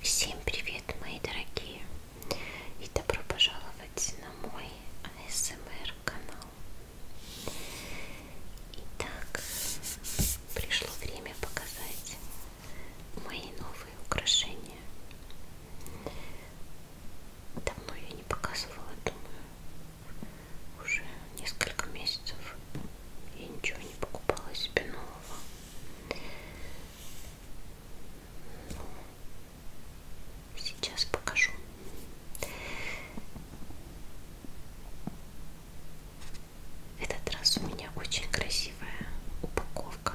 Всем привет, мои дорогие, и добро пожаловать на мой АСМР канал. Итак, пришло время показать мои новые украшения. Давно я не показывала, думаю, уже несколько месяцев. Я ничего не покупала себе нового. Ну, сейчас покажу. Этот раз у меня очень красивая упаковка.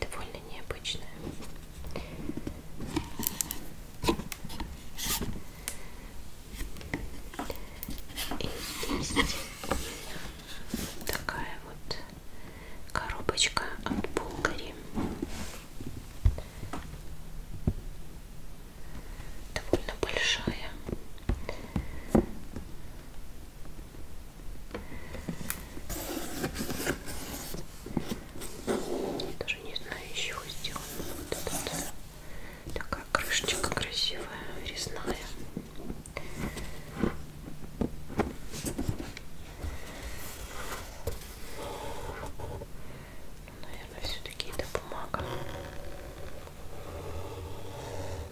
Довольно необычная. И здесь такая вот коробочка от Булгари. Довольно большая. Даже не знаю, еще сделано вот этот Такая крышечка красивая, резная. Наверное, все-таки это бумага.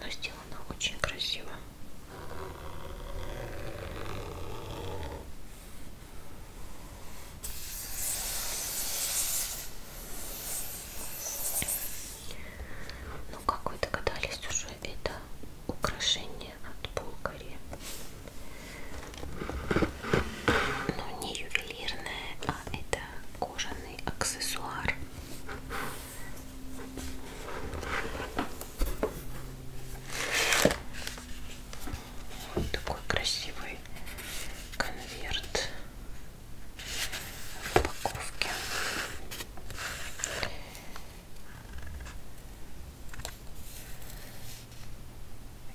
Но сделана очень красиво. Ну, как вы догадались уже, это украшение от Булгари. Но ну, не ювелирное, а это кожаный аксессуар. Вот такой красивый конверт упаковке.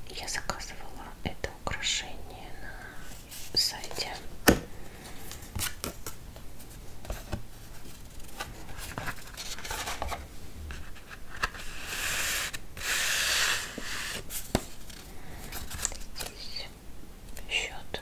Я заказывала это украшение на сайте здесь счет.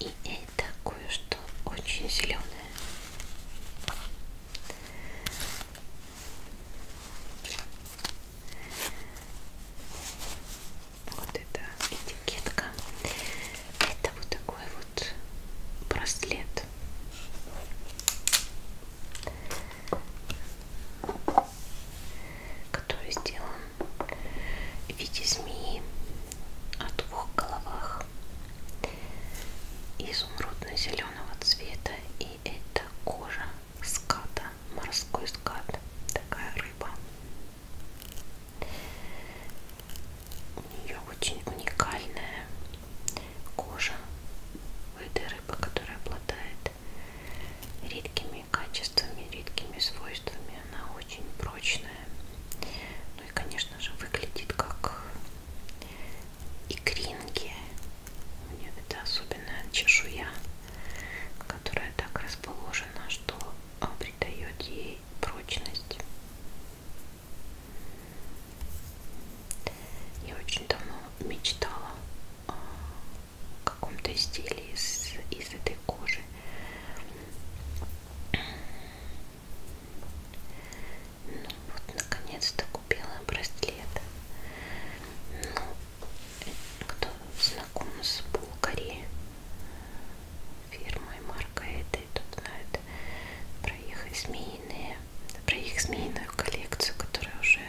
И это кое-что очень зеленое. Вот это этикетка. Это вот такой вот браслет который сделан в виде змеи о двух головах изумрудно-зеленого цвета. И это кожа ската, морской скат, такая рыба. У нее очень уникальная кожа у этой рыбы, которая обладает редкими качествами, редкими свойствами. Она очень прочная. Ну и, конечно же, выглядит как икринки. У нее это особенная чешуя, которая так расположена, что а, придает ей прочность. Я очень давно мечтала а, о каком-то изделии из, из этой кожи. Ну вот, наконец-то купила браслет. Ну, кто знаком с Булгари, фирмой, маркой этой, тот знает про их змеиные, про их змеиную коллекцию, которая уже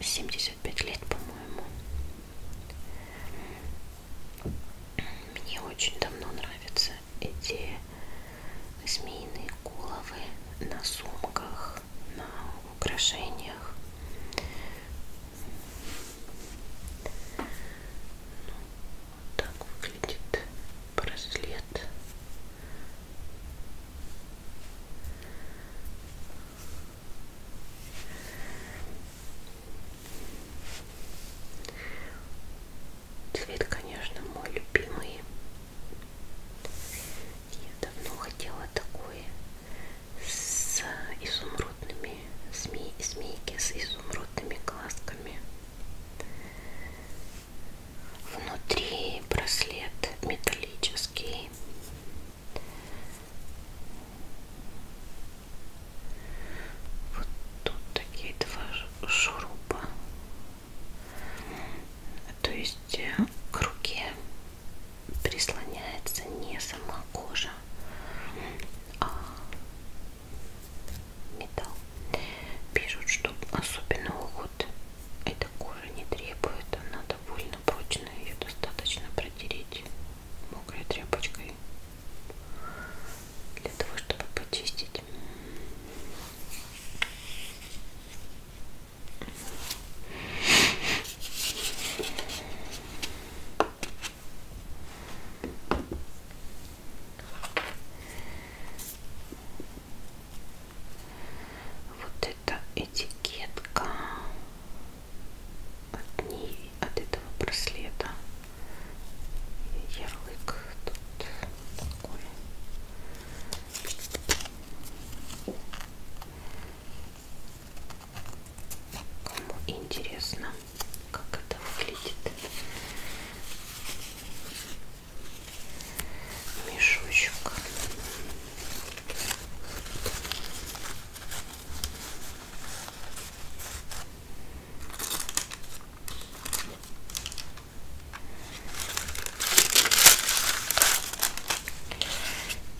75 лет, по-моему. Мне очень давно нравятся эти змеиные головы на сумках, на украшениях. Ну, так выглядит браслет. Цвет, конечно, мой любимый. Я давно хотела такой с изумрудными зме... змейки, с изумрудными глазками. Внутри браслет металлический. Вот тут такие два шуруба. То есть э, к руке прислоняется не сама кожа, а металл. Пишут, что особенно уход эта кожа не требует, она довольно прочная, ее достаточно протереть мокрой тряпочкой для того, чтобы почистить. Вот это этикетка от ней, от этого браслета. Ярлык тут такой. Кому интересно, как это выглядит. Мешочек.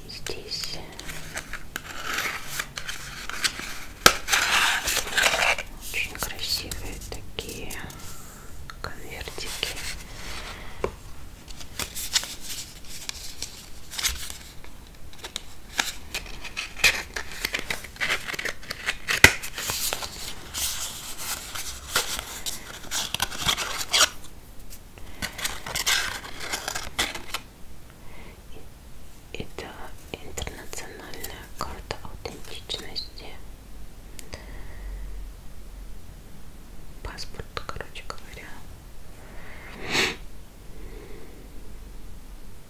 Здесь очень красивые такие конвертики. Это интернациональная карта аутентичности. Паспорт, короче говоря.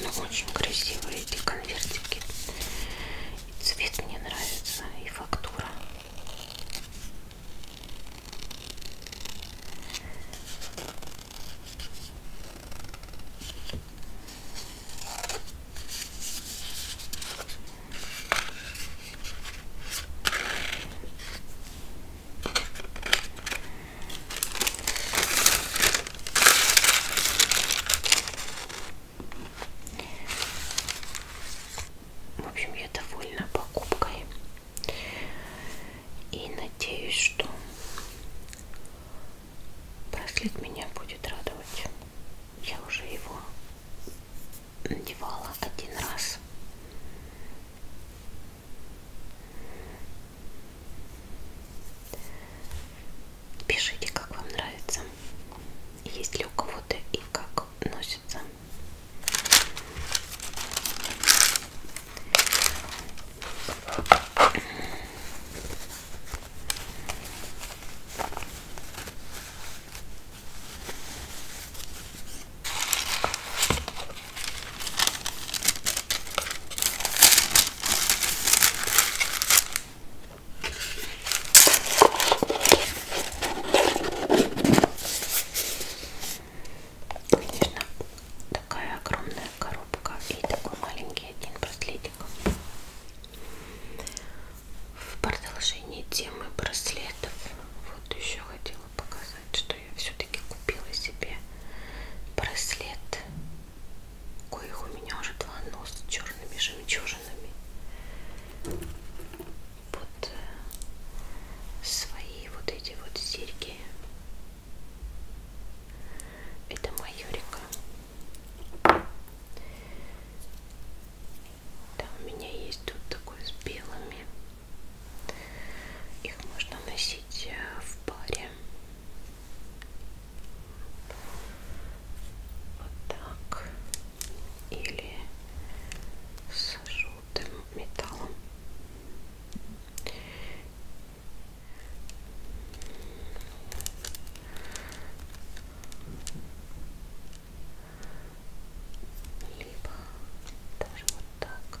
Ну, очень красивые эти конвертики. И цвет мне нравится, и фактура. В общем, я довольна покупкой и надеюсь, что Браслет меня будет радовать. Я уже его надевала один раз. Пишите, как вам нравится. Есть ли у кого-то и как носится. Конечно, такая огромная коробка и такой маленький один браслетик ролик. В продолжении темы браслетов вот еще хотела показать, что я все-таки купила себе браслет, коих у меня уже два носа с черными жемчужинами. Вот э, свои вот эти вот серьги. Это майорика. Да, у меня есть тут такой с белыми. Их можно носить э, в паре. Вот так. Или с желтым металлом либо даже вот так.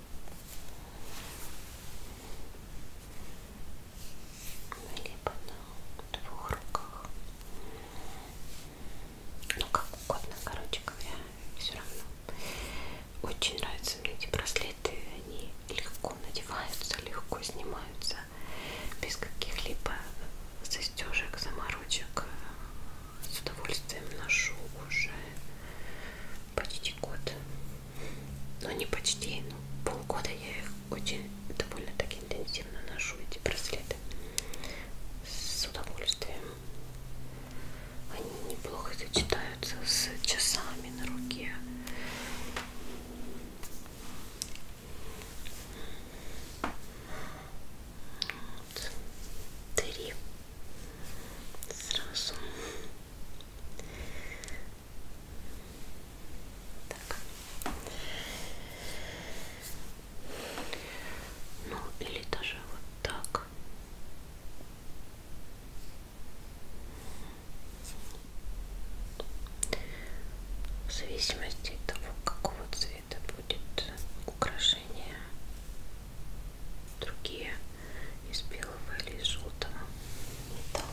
либо на двух руках. Ну, как угодно, короче говоря, все равно. Очень нравятся мне эти браслеты, они легко надеваются, легко снимаются, без каких-либо застежек, заморочек. С удовольствием ношу уже почти год но не почти, ну, полгода я их очень довольно-таки интенсивно ношу, эти браслеты, с удовольствием. Они неплохо сочетаются с часами на руке. Вот. Три сразу. Так. Ну, или даже вот так. В зависимости от того, какого цвета будет украшение, другие из белого или из желтого металла.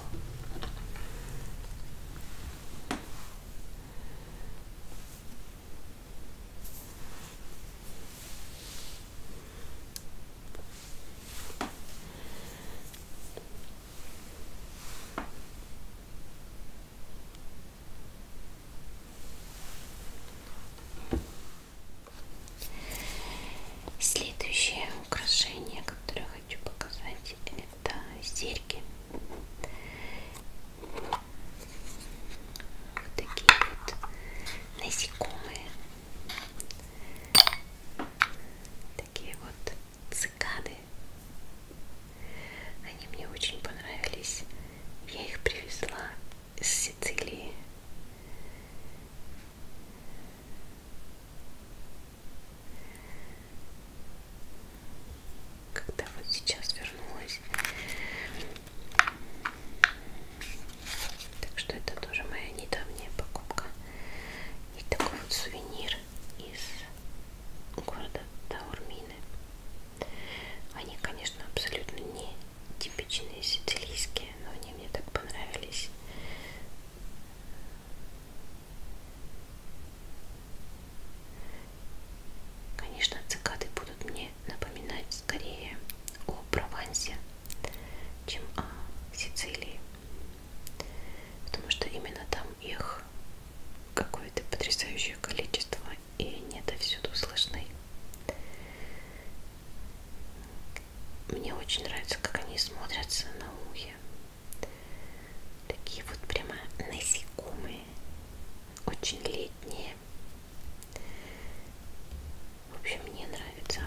Следующее украшение, которое хочу показать, это серьги. Вот такие вот насекомые. Такие вот цикады. Они мне очень понравились. Я их привезла из Сицилии. Когда вот сейчас вернулась. Так что это тоже моя недавняя покупка. И такой вот сувенир из города Таурмины. Они, конечно, абсолютно не типичные сицилийские, но они мне так понравились. Конечно, цикады будут мне напоминать скорее о Провансе, чем о Сицилии, потому что именно там их какое-то потрясающее количество, и они это всюду слышны. Мне очень нравится, как они смотрятся на ухе. Такие вот прямо насекомые, очень летние. В общем, мне нравится.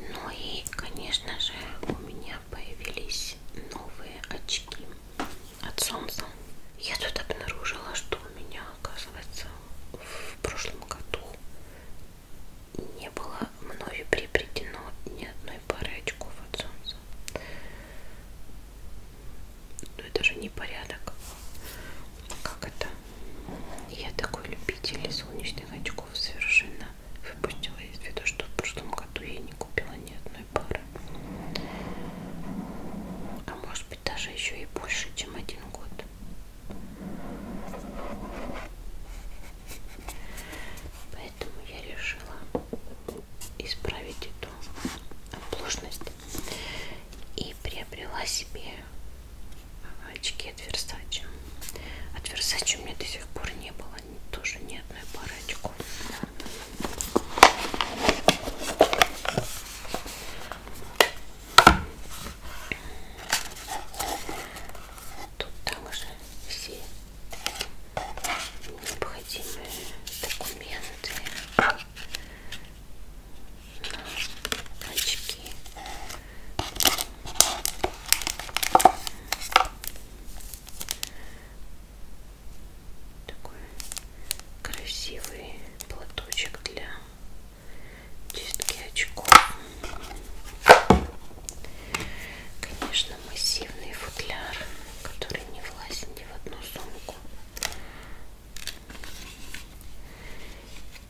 Ну и, конечно же, у меня появились новые очки от солнца. Я тут обнаружила, что у меня оказывается, в прошлом году не было мною приобретено ни одной пары очков от солнца. Но ну, это же не порядок. Как это? Я такой любитель солнечных очков совершенно выпустила из виду, что в прошлом году я не купила ни одной пары. А может быть даже еще и больше, чем один год. Поэтому я решила исправить эту оплошность и приобрела себе а, очки от Versace. От Versace у меня до сих пор не было тоже ни одной пары очков. Тут также все необходимые документы на очки. Такой красивый платочек для чистки очков. Конечно, массивный футляр, который не влазит ни в одну сумку.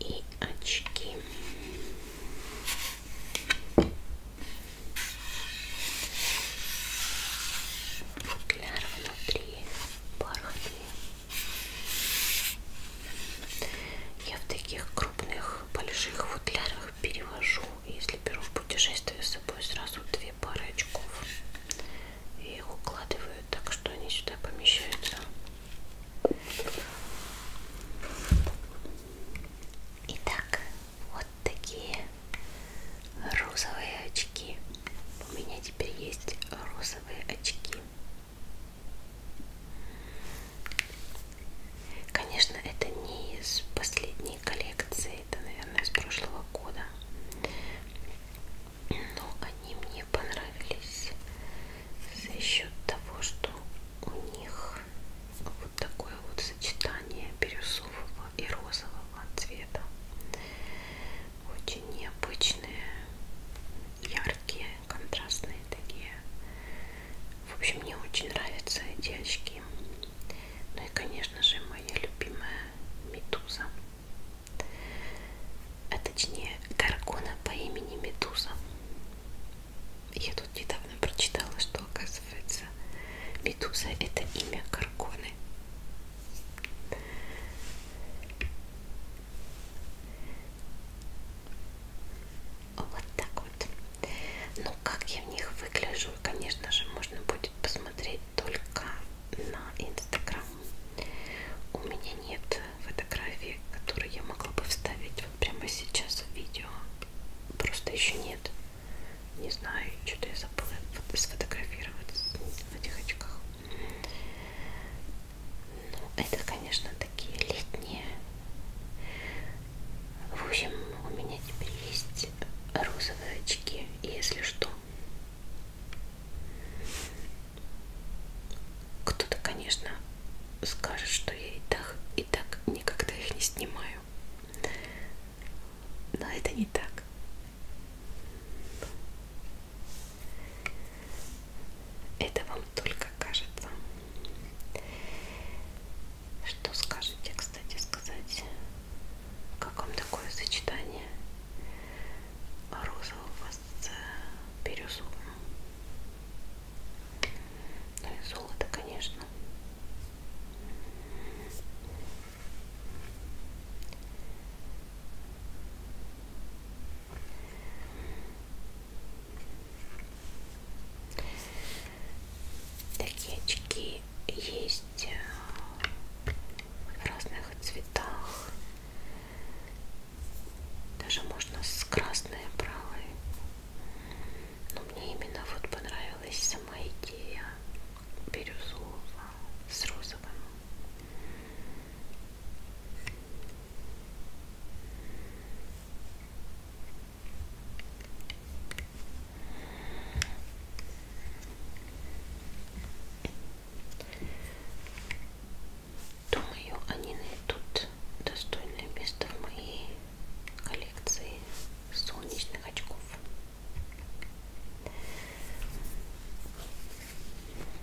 И очки. Футляр внутри бархатный. Я в таких крупных, больших футлярах перевожу, если беру в путешествие с собой сразу две пары очков. Я их укладываю так, что они сюда помещаются. Итак, вот такие розовые очки. У меня теперь есть розовые очки. Конечно, это не из последней коллекции, это, наверное, из прошлого года. Но они мне понравились за счет того, что у них вот такое вот сочетание бирюзового и розового цвета. Очень необычные, яркие контрастные такие. В общем, мне очень нравятся эти очки. Ну и, конечно же, моя любимая Медуза. А точнее, Гаргона по имени Медуза. Я тут недавно прочитала, что, оказывается, Медуза это имя Гаргоны. Вот так вот. Ну, как я в них выгляжу, конечно же, можно будет посмотреть только на Инстаграм. У меня нет фотографий, которые я могла бы вставить вот прямо сейчас в видео. Просто еще нет. Не знаю, что-то я забыла сфотографировать в этих очках. Это, конечно, такие летние. В общем, у меня теперь есть розовые очки, если что. Кто-то, конечно, скажет, что я и так, и так никогда их не снимаю. Но это не так. Это вам только кажется. Что скажете, кстати, сказать? Как вам такое сочетание розового с бирюзовым? Ну и золото, конечно. Такие очки есть э, в разных цветах. Даже можно с красной правой. Но мне именно вот понравилась сама идея бирюзового с розовым. Думаю, они найдут достойное место в моей коллекции солнечных очков.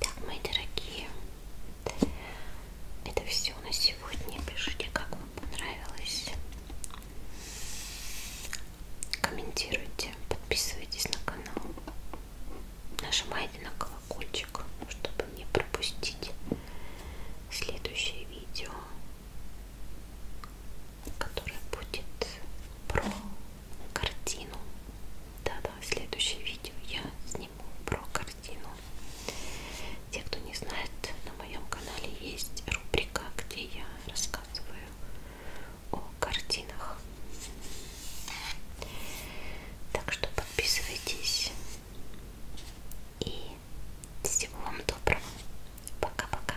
Так, мои дорогие, это все на сегодня. Пишите, как вам понравилось. Комментируйте, подписывайтесь на канал. Нажимайте на колокольчик, чтобы не пропустить следующее видео, которое будет про картину. Да-да, следующее видео я сниму про картину. Те, кто не знает, на моем канале есть рубрика, где я рассказываю о картинах. Так что подписывайтесь. И всего вам доброго. Пока-пока.